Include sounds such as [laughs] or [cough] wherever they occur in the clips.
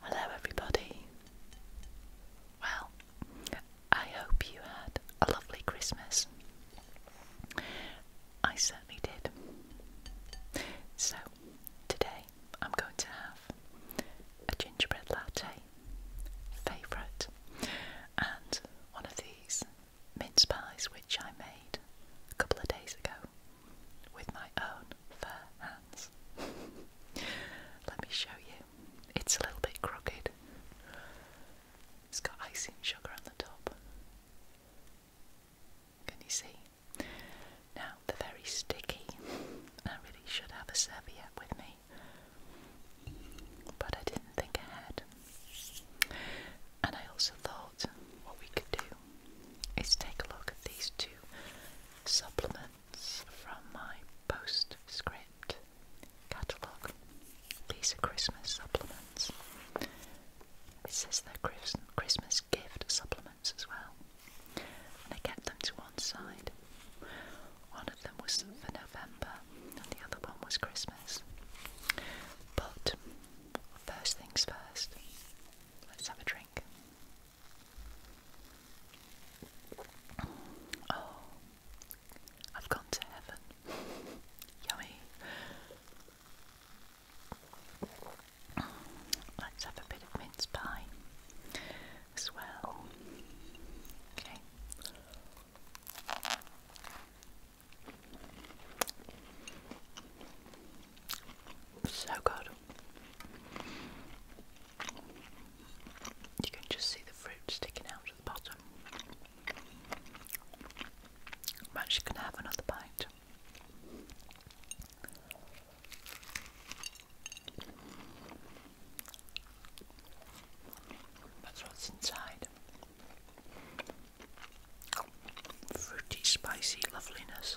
Hello, everybody. Well, I hope you had a lovely Christmas. I certainly did. So, today I'm going to have a gingerbread latte, favourite, and one of these mince pies which I made a couple of days ago with my own fur hands. Let me show you. It's a little bit crooked. It's got icing sugar on the top. Can you see? Now they're very sticky. I really should have a serviette with me. But I didn't think ahead. And I also thought what we could do is take a look at these two supplements from my postscript catalogue. These are Christmas supplements. It says they're Christmas gift supplements as well. And I kept them to one side. One of them was for November, and the other one was Christmas. But first things first, let's have a drink. Oh, I've gone to heaven. [laughs] Yummy. Let's have a bit of mince pie as well. Okay. So good. You can just see the fruit sticking out at the bottom. I'm actually have another bite. That's what's inside. Fruity, spicy loveliness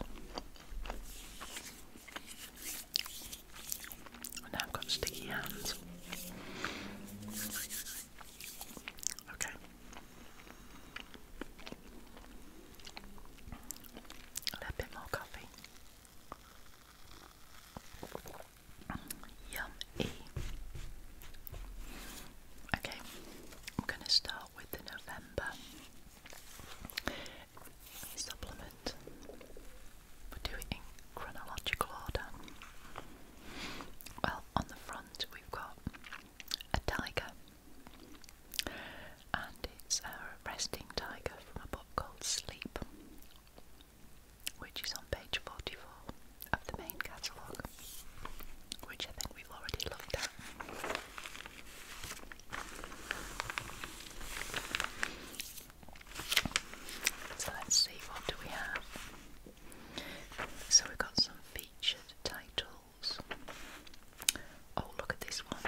now I've got sticky hands. Okay. A little bit more coffee. Yummy. Okay, I'm going to start with the November supplement. we are doing in chronological order. Well, on the front we've got a tiger, and it's a resting tiger from a book called Sleep, which is on page 44 of the main catalogue, which I think we've already looked at. So let's see what do we have. So we've got some featured titles. Oh look at this one.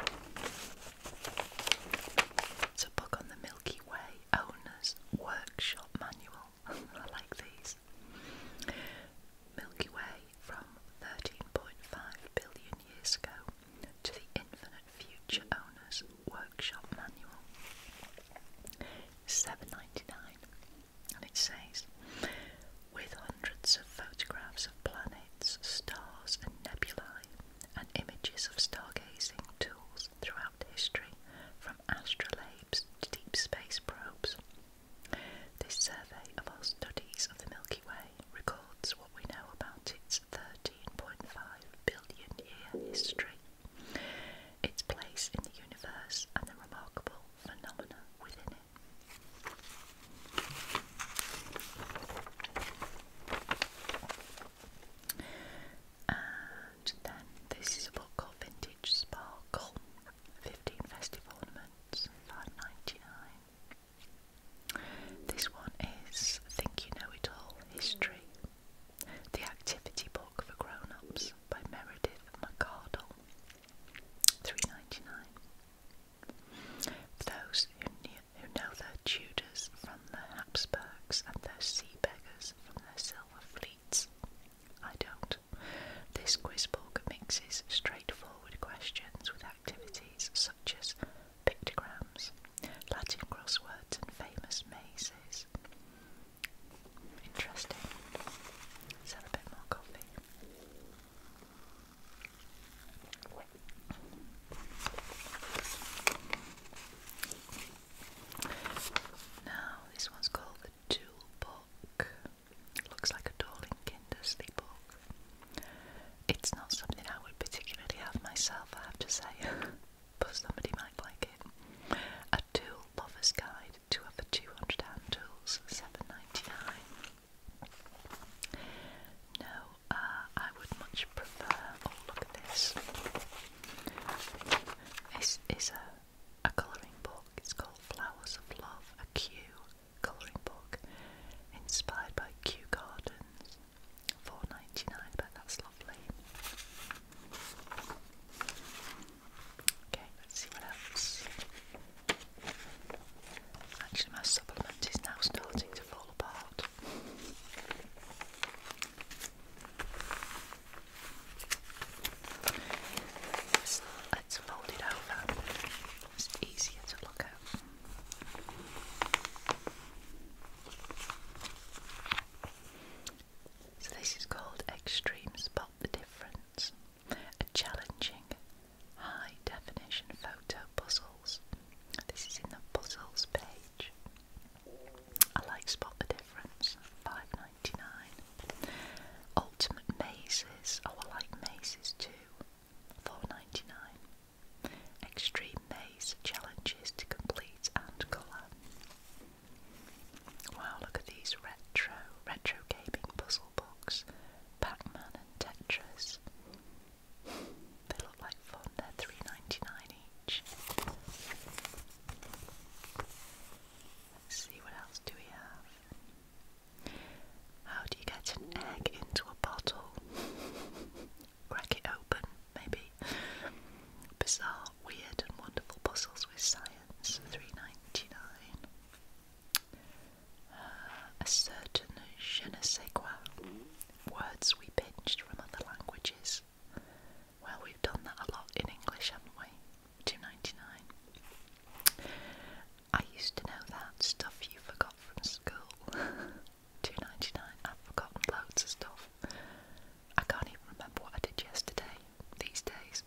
It's a book on the Milky Way Owners Workshop Manual. [laughs] I like these. Milky Way from 13.5 billion years ago to the Infinite Future Owners Workshop Manual. 7.99 and it says with hundreds of photographs of planets, stars and nebulae and images of stargazing tools throughout history from astrolabes to deep space probes. This survey of all studies of the Milky Way records what we know about its 13.5 billion year history, its place in the universe, and the remarkable phenomena within it. And then this is a book called Vintage Sparkle 15 Festive Ornaments, 5.99. This one is Think You Know It All History, the activity book for grown ups by Meredith McArdle, Three ninety-nine. those who, know their Tudors from the Habsburgs and their sea beggars from their silver fleets, I don't. This quiz book mixes straightforward questions with activities such as pictograms, Latin crosswords, and famous mazes. Interesting. Let's a bit more coffee. Now, this one's called the Tool Book. looks like a darling Kinder book. It's not something I would particularly have myself, I have to say, [laughs] but somebody might like it. A tool lover's guide to over 200 hand tools, 7 No, uh, I would much prefer. Oh, look at this. This is a, a colouring book. It's called Flowers of Love, a Q colouring book inspired by Kew Gardens. Four ninety nine, but that's lovely. Okay, let's see what else. Actually, my supplement is now starting to fall apart. It's, it's folded over. It's easier to look at. So, this is called Extreme Spot the Difference a challenging high definition photo puzzles. This is in the puzzles page. I like Spot the Difference, five ninety nine. Ultimate Mazes, oh, I like mazes too, four ninety nine. Extreme maze challenges to complete and colour. Wow, look at these retro, retro gaming puzzle books. pac and Tetris. They look like fun, they're three ninety nine each. see what else do we have. How do you get an egg into a bottle? [laughs] crack it open, maybe. Bizarre, weird, and wonderful puzzles with science, three ninety nine. Uh, a certain je Words we pinched from other languages. Well, we've done that a lot in English, haven't we? Two ninety nine. I used to know that stuff you forgot from school. [laughs] two ninety nine. I've forgotten loads of stuff. I can't even remember what I did yesterday. These days,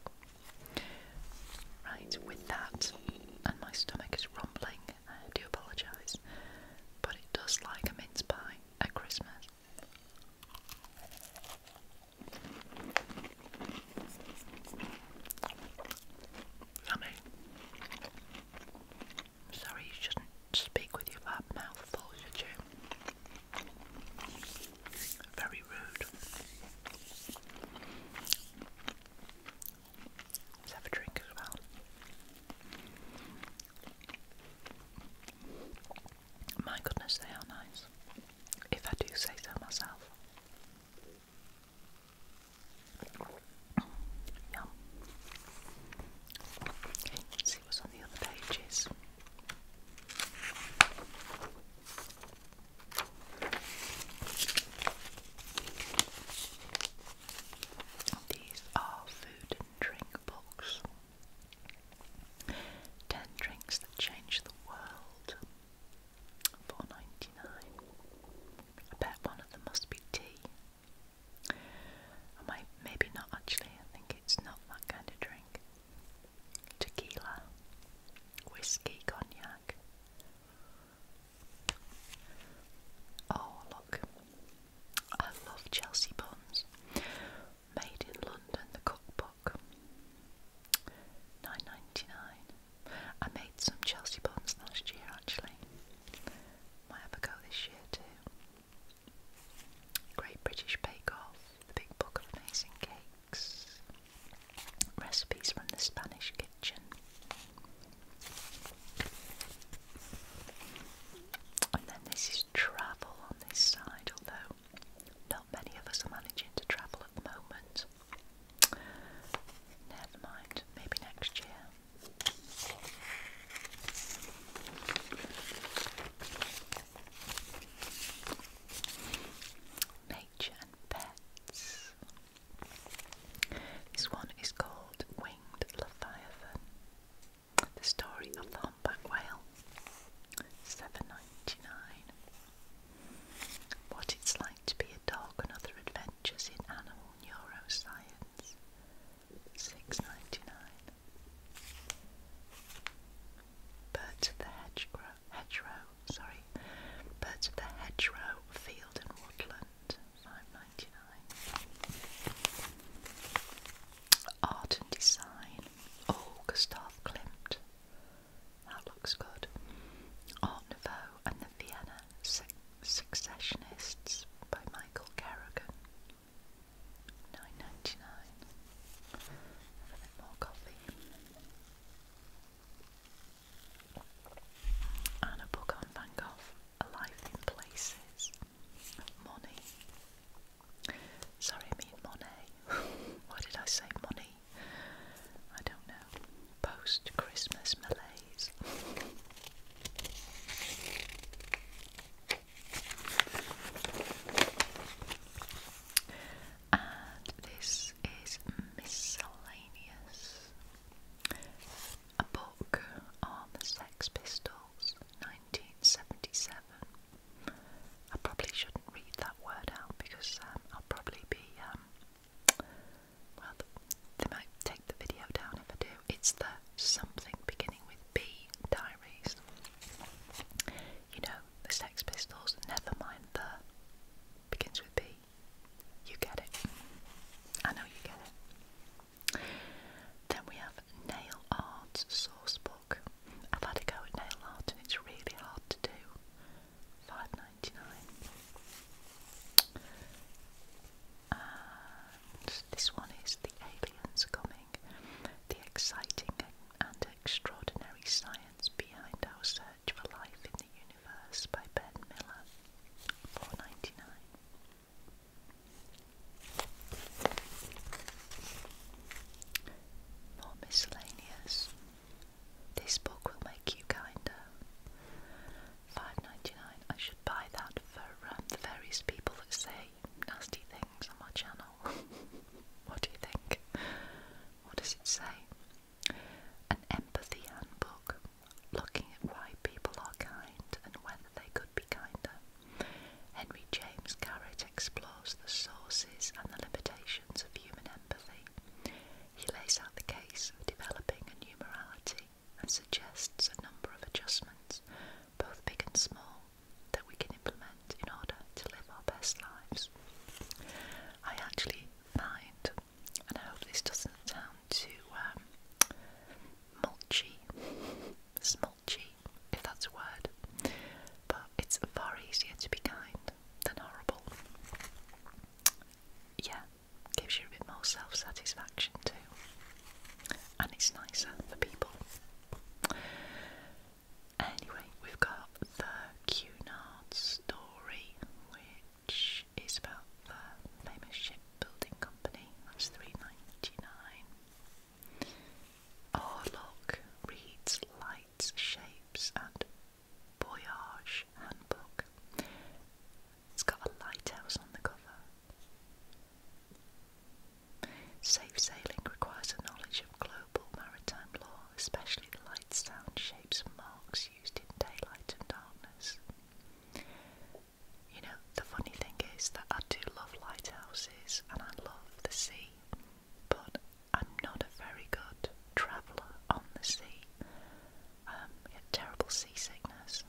right? With that, and my stomach is rumbling. do apologise, but it does like a mince pie at Christmas. Yummy. Sorry, you shouldn't speak with your bad mouth full, should you? Very rude. Let's have a drink as well. My goodness, they are nice. If I do say so myself. Yum. Okay, see what's on the other pages. These are food and drink books. Ten drinks that change the world. Four ninety nine. I bet one of them must be tea. I maybe not actually, I think it's not that kind of drink. Tequila, whiskey, cognac. Oh, look, I love Chelsea buns. Made in London, the cookbook. Nine ninety nine. I made some Chelsea buns last year actually. Might have go this year too. Great British Bake Off, the Big Book of Amazing Cakes, recipes from the Spanish kitchen. And then this is travel on this side, although not many of us are managing to travel at the moment. Never mind, maybe next year. Nature and Pets. This one is called Winged Leviathan. The story of the humpback whale. Seven ninety nine. What it's like to be a dog and adventures in animal Neuroscience, six ninety nine. Bert the Hedgerow, hedgerow sorry, Bert the Hedgerow Field and Woodland, five ninety nine. Art and Design, oh Gustav Klimt. That looks good. Art Nouveau and the Vienna Successionists by Michael Kerrigan, nine ninety nine. a bit more coffee and a book on Van Gogh, A in Places, Money. Sorry, I mean Monet. [laughs] Why did I say money? I don't know. Post Christmas malaise. And this is Miscellaneous, a book on the Sex Pistols, 1977. I probably shouldn't read that word out because um, I'll probably be, um, well, they might take the video down if I do. It's the something beginning with B diaries. You know, the Sex Pistols, never mind the begins with B. You get it. I know you get it. Then we have Nail Art source book. I've had a go at nail art and it's really hard to do. Five ninety nine. Uh, this one is The Aliens Coming, the exciting and extraordinary science behind our search for life in the universe by Ben Miller, four ninety nine. More miscellaneous. This book will make you kinder. Five ninety nine. I should buy that for um, the various people that say nasty things on my channel. [laughs] what do you think? What does it say? An empathy handbook, looking at why people are kind and when they could be kinder. Henry James Garrett explores the sources and the limitations of human empathy. He lays out the case of developing a new morality and suggests a number of adjustments, both big and small, that we can implement in order to live our best lives. I actually find, and I hope this doesn't sound too um, mulchy, smulchy, if that's a word, but it's far easier to be kind than horrible. Yeah, gives you a bit more self satisfaction too and it's nicer for people. Anyway, we've got the Cunard story, which is about the famous shipbuilding company. That's three ninety nine. Oh reads lights, shapes, and voyage handbook. It's got a lighthouse on the cover. Safe sailing requires a knowledge of global maritime law, especially the light, sound, shapes, and marks used in daylight and darkness. You know, the funny thing is that I do love lighthouses and I love the sea, but I'm not a very good traveller on the sea. Um, I get terrible seasickness.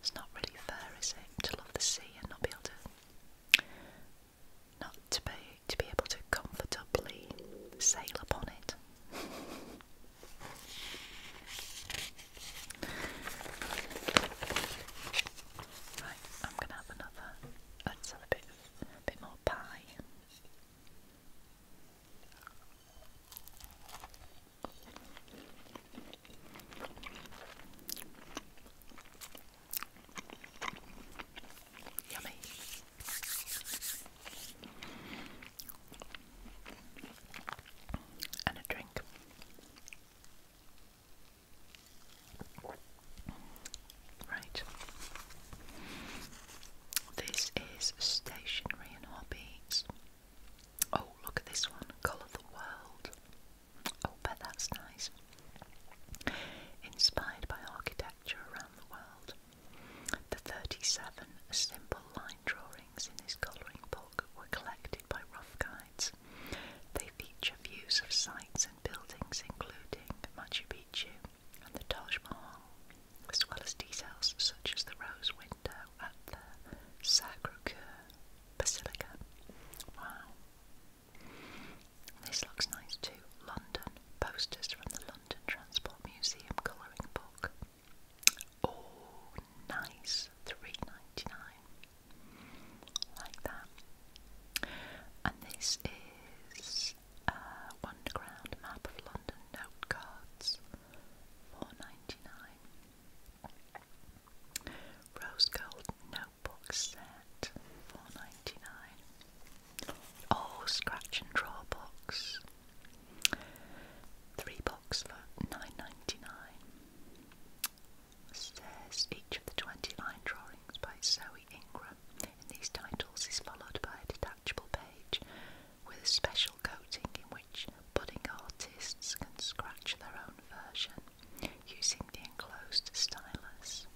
It's not really fair, is it, to love the sea and not be able to not to be to be able to comfortably sail upon it. right, I'm gonna have another a bit bit more pie. Yummy. And a drink. Right. This is stationery and hobbies. Oh, look at this one. Colour the world. Oh, that's nice. Inspired by architecture around the world, the 37 simple line drawings in his colouring book were collected by rough guides. They feature views of sites and buildings, including Machu Picchu and the Taj Mahal, as well as details such as the rose window at the Sacre Coeur Basilica. Wow. This looks nice too. London. Posters from the London Transport Museum colouring book. Oh, nice. Three ninety nine. Like that. And this is a uh, underground map of London note cards. Four ninety nine. Rose gold no box set, four ninety nine. Oh, scratch and draw box, three box for nine ninety nine. Says each of the twenty line drawings by Zoe Ingram in these titles is followed by a detachable page with a special coating in which budding artists can scratch their own version using the enclosed stylus,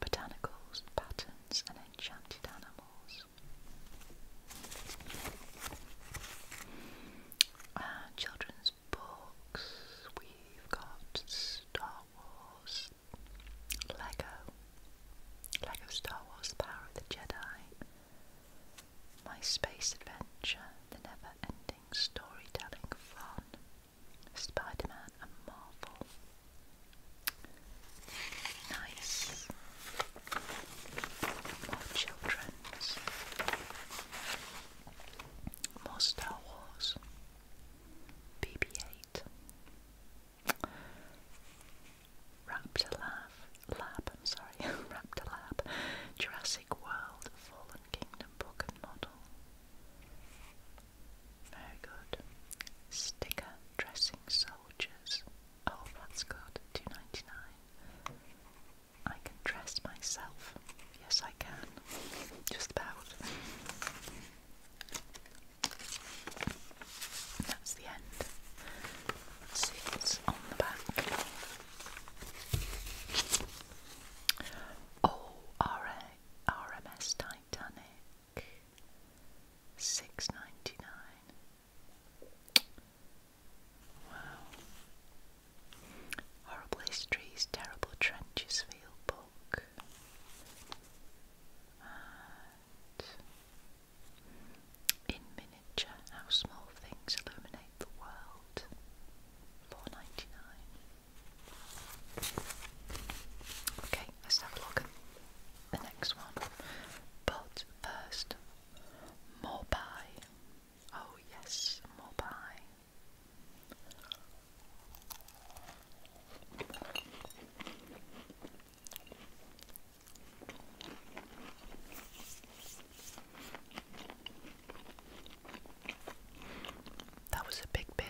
botanicals, patterns, and enchanted animals. Uh, children's books, we've got Star Wars, Lego, Lego Star Wars, The Power of the Jedi, My Space Adventure, The Never Ending storytelling fun. Spider Man and Marvel. Nice. More children's. More Star Wars. BB 8. Raptor Lab. Lab, I'm sorry. [laughs] Raptor Lab. Jurassic World Fallen Kingdom book and model. Very good. Sticker dressing soldiers. Oh, that's good. Two ninety nine. I can dress myself. Yes, I can. Just about. That's the end. That's It's on the back. Oh, Titanic, six ninety nine. Wow. Horrible Histories, Terrible Trenches Field Book. in miniature, How Small Things Illuminate the World, four ninety nine. Okay, let's have a look at the next one. But first, more Oh, yes, more that was a big bit.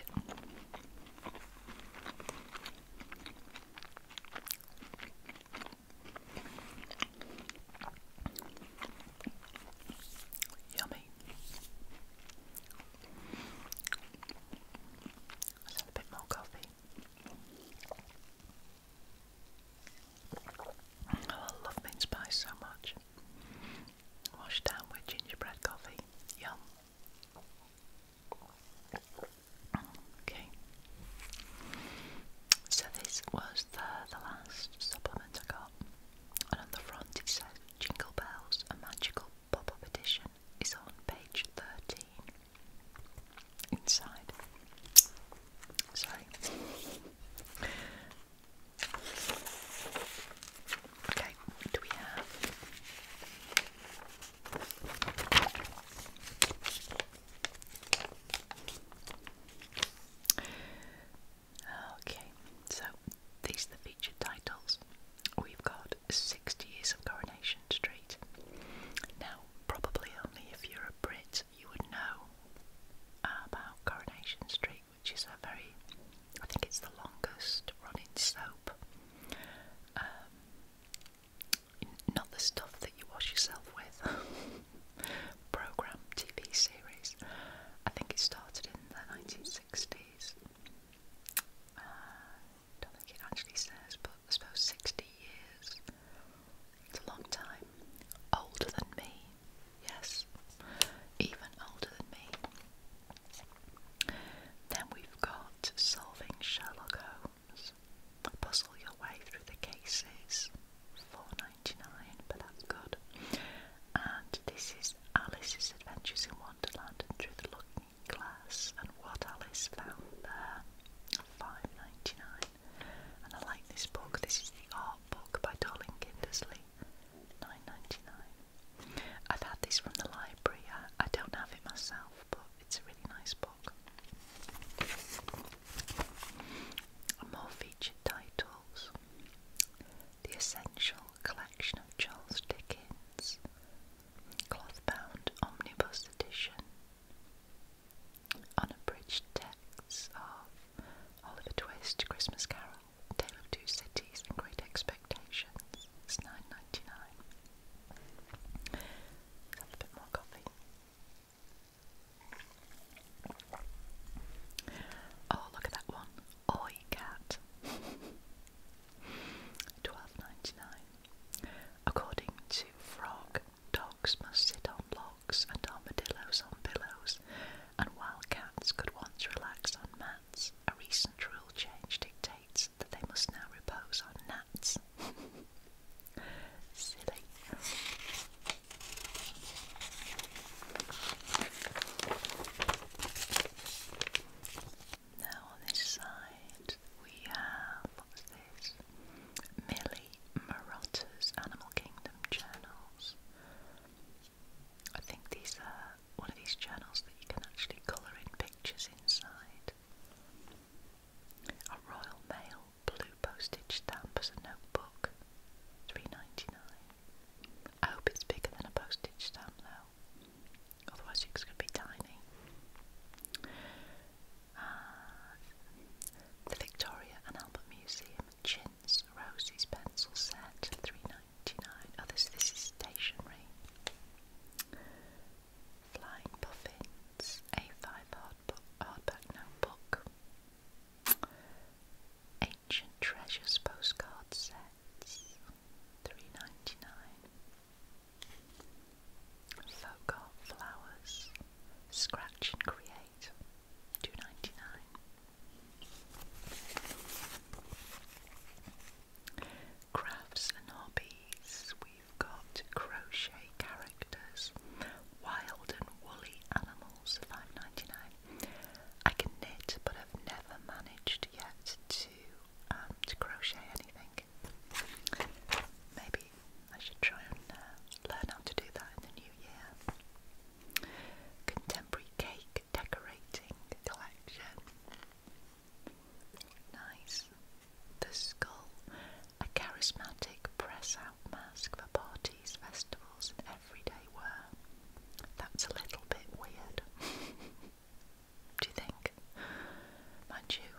Yummy. have a bit more coffee. Oh, I love mint spice so much. Washed down with gingerbread coffee. Yum. Okay. So this was the, the last supplement I got. And on the front it says Jingle Bells, a magical pop edition is on page 13. Inside. Sorry. Okay, do we have? Okay, so these are the featured titles. We've got 60 Years of Coronation Street. Now, probably only if you're a Brit, you would know about Coronation Street which is a very, I think it's the longest running soap. Um, not the stuff that you wash yourself with. [laughs] Program TV series. I think it started in the 1960s. Uh, don't think it actually says, but I suppose 60 years. It's a long time. Older than me. Yes, even older than me. Then we've got Solving Sherlock Holmes. Puzzle your way through the cases. 4 but that's good. And this is Alice's Adventures in Wonderland and Through the Looking Glass and What Alice Found There. 5 And I like this book. This is the art book by Darling Kindersley. 9.99. I've had this from the library. I, don't have it myself, but it's a really nice book. More featured titles: The Essential Collection of Charles Dickens, Clothbound Omnibus Edition, Unabridged Texts of Oliver Twist, Christmas Carol, Tale Two Cities and Great Expectations. It's nine ninety nine. A bit more coffee. Oh, look at that one. Oi cat. Twelve ninety nine. According to Frog, dogs must sit on logs and armadillos on pillows, and wild cats could once relax on man, a recent rule change dictates that they must now repose on gnats. [laughs] Silly. Now on this side we have what this? Millie Marotta's Animal Kingdom journals. I think these are one of these channels that you can actually colour in pictures inside. A Royal Mail blue postage stamp as a notebook, three ninety nine. I hope it's bigger than a postage stamp though, otherwise it's going to be tiny. Ah, the Victoria and Albert Museum Rosie's pencil set, three ninety nine. Oh, this is stationery. Flying Puffins, A five hardback hardback notebook. Ancient Treasures postcard sets, three ninety nine. Folk flowers, scratch and create, two ninety nine. Crafts and hobbies. We've got crochet characters, wild and woolly animals, five ninety nine. I can knit, but I've never managed yet to um, to crochet anything. Maybe I should try and uh, learn how to do that in the new year. Contemporary cake decorating collection. Nice. The skull, a charismatic press-out mask for parties, festivals, and everyday wear. That's a little bit weird. [laughs] Do you think? Mind you,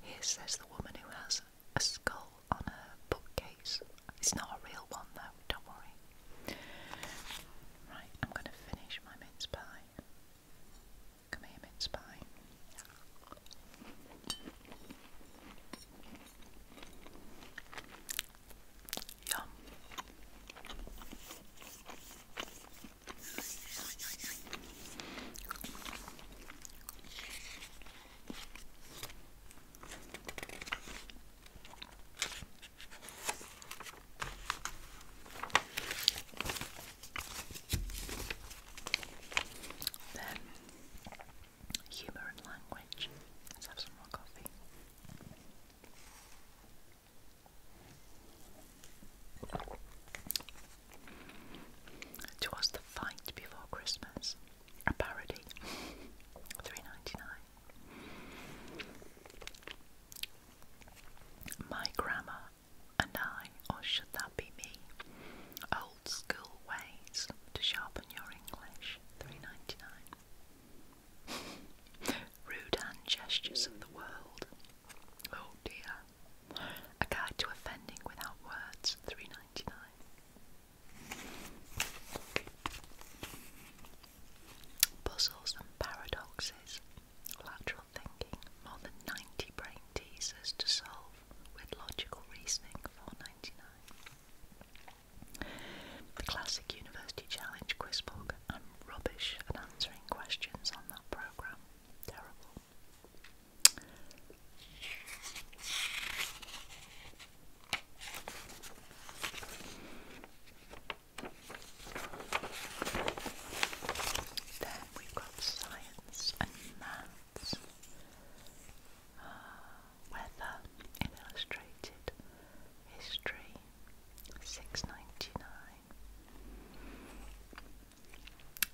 here's says the woman who has a skull on her bookcase. It's not a real one though, don't worry. Right, I'm going to finish my mince pie. Come here, mince pie. Yum. Then, humour and language. Let's have some more coffee. Twas the fight before Christmas, a parody, three ninety nine. My grandma and I, or should that be me? Old school ways to sharpen your English. Three ninety nine. Rude hand gestures of the world. Oh dear. A guide to offending without words. Three ninety nine puzzles and paradoxes, lateral thinking, more than 90 brain teasers to solve with logical reasoning, 4.99. The classic university challenge quiz book. I'm rubbish at answering questions on that program. Terrible. Then we've got science and maths, uh, weather illustrated history, six ninety nine.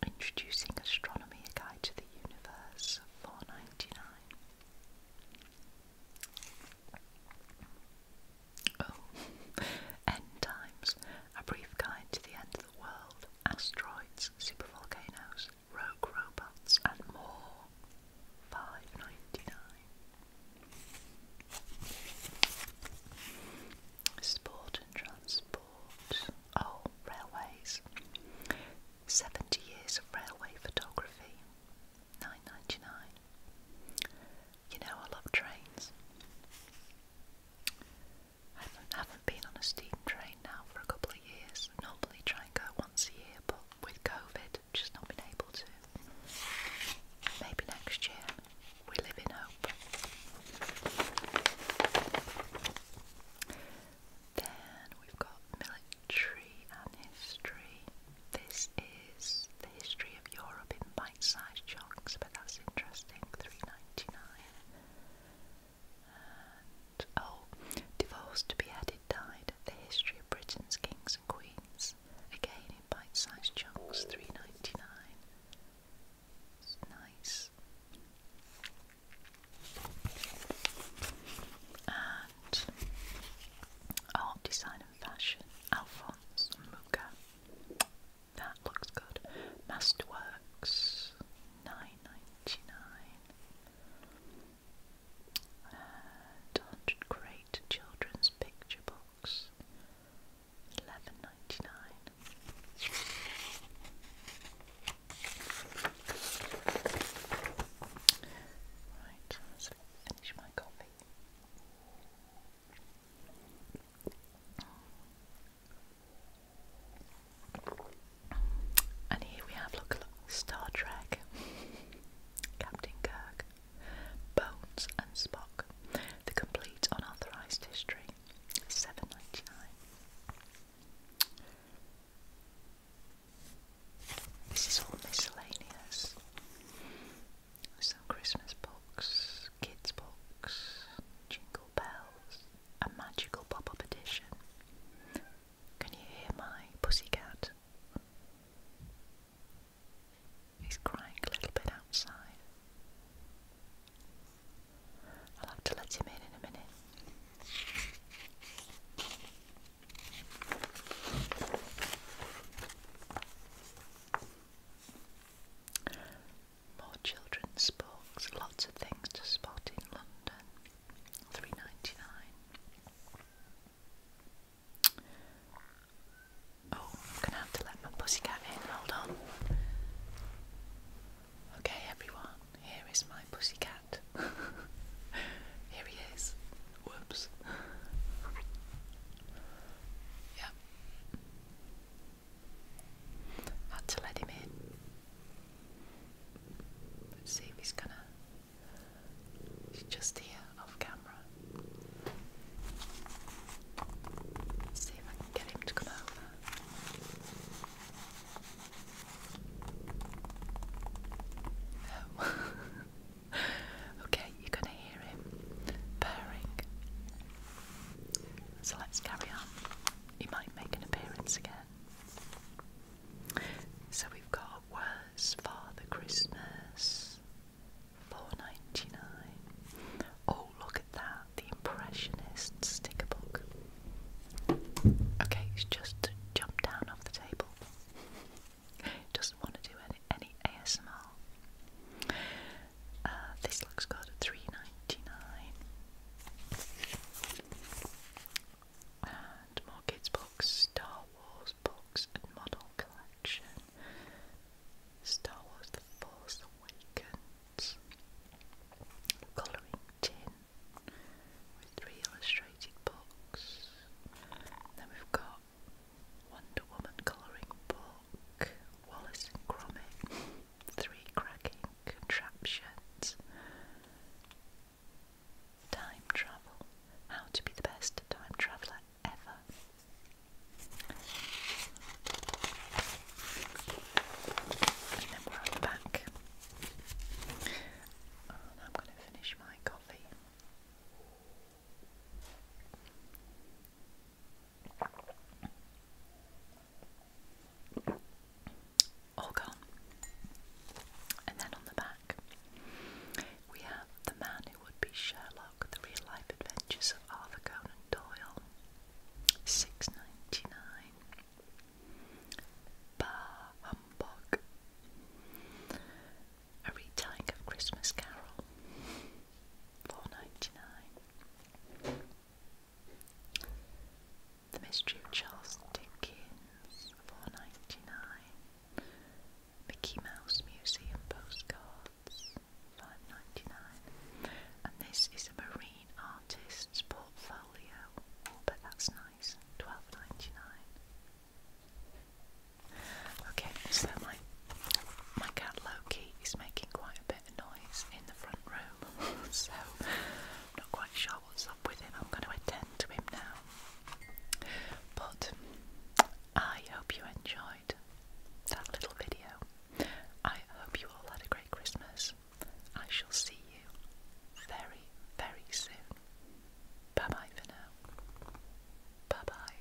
Introducing astronomy, a guide to the universe, four ninety nine. Oh, End Times, A Brief Guide to the End of the World, Asteroids, Supervolcanoes, Rogue Robots and More, five ninety nine. Sport and Transport, oh, Railways, 70 Years of Railway Photography, nine ninety nine. You know I love trains. I haven't, been on a steam train now for a couple of years. normally try and go once a year, but with COVID, just not been able to. Maybe next year. We live in hope. Then we've got military and history. This is the history of Europe in bite-sized chunks, but that's interesting. Three ninety-nine. And oh, divorced, beheaded, died. The history of Britain's kings and queens. Again in bite-sized chunks. Three ninety-nine. nice. And art, design and fashion. Alphonse Mucha. That looks good. Masterworks, nine ninety nine. And hundred great children's picture books, eleven ninety nine. Right, finish my coffee. And here we have look, Star Trek, [laughs] Captain Kirk, Bones and Spock, the complete unauthorized history, seven ninety nine. This is all miscellaneous some Christmas books, kids' books, Jingle Bells, a magical pop up edition. Can you hear my pussy cat? He's crying a little bit outside. I'll have to let him in in a minute. More children's books, lots of things to spot in London. Three ninety nine. Oh, I'm gonna have to let my pussycat in, hold on. Okay everyone, here is my pussycat. [laughs] here he is. Whoops. [laughs] Yep. Had to let him in. Let's see if he's gonna. just here off camera. see if I can get him to come over. Oh. [laughs] okay, you're going to hear him purring. So let's carry on. He might make an appearance again. So we've got Worse Father Christmas, four ninety nine. Oh, look at that! The Impressionist sticker book. Okay, it's just to jump down off the table. [laughs] Doesn't want to do any, any ASMR. Uh, this looks good at three ninety nine. And more kids books, Star Wars books and model collection. Star Wars The Force Awakens. Colouring tin with three illustrated books. Then we've got Wonder Woman colouring book, Wallace and Gromit, three cracking contraptions, time travel, how to be the best time traveller ever. And then we're on the back. And I'm going to finish my coffee. All gone. And then on the back, we have the man who would be Sherlock, the real life adventures of Arthur Conan Doyle. Six ninety nine. Bah humbug. A retelling of Christmas Carol. 4.99. The Mystery of Charles Dickens, 4.99. Mickey Mouse Museum postcards, 5.99. And this is a marine artist's portfolio, oh, but that's nice, 12.99. Okay, so my my cat Loki is making quite a bit noise in the front room, [laughs] so i not quite sure what's up with him. I'm going to attend to him now. But I hope you enjoyed that little video. I hope you all had a great Christmas. I shall see you very, very soon. Bye bye for now. Bye bye.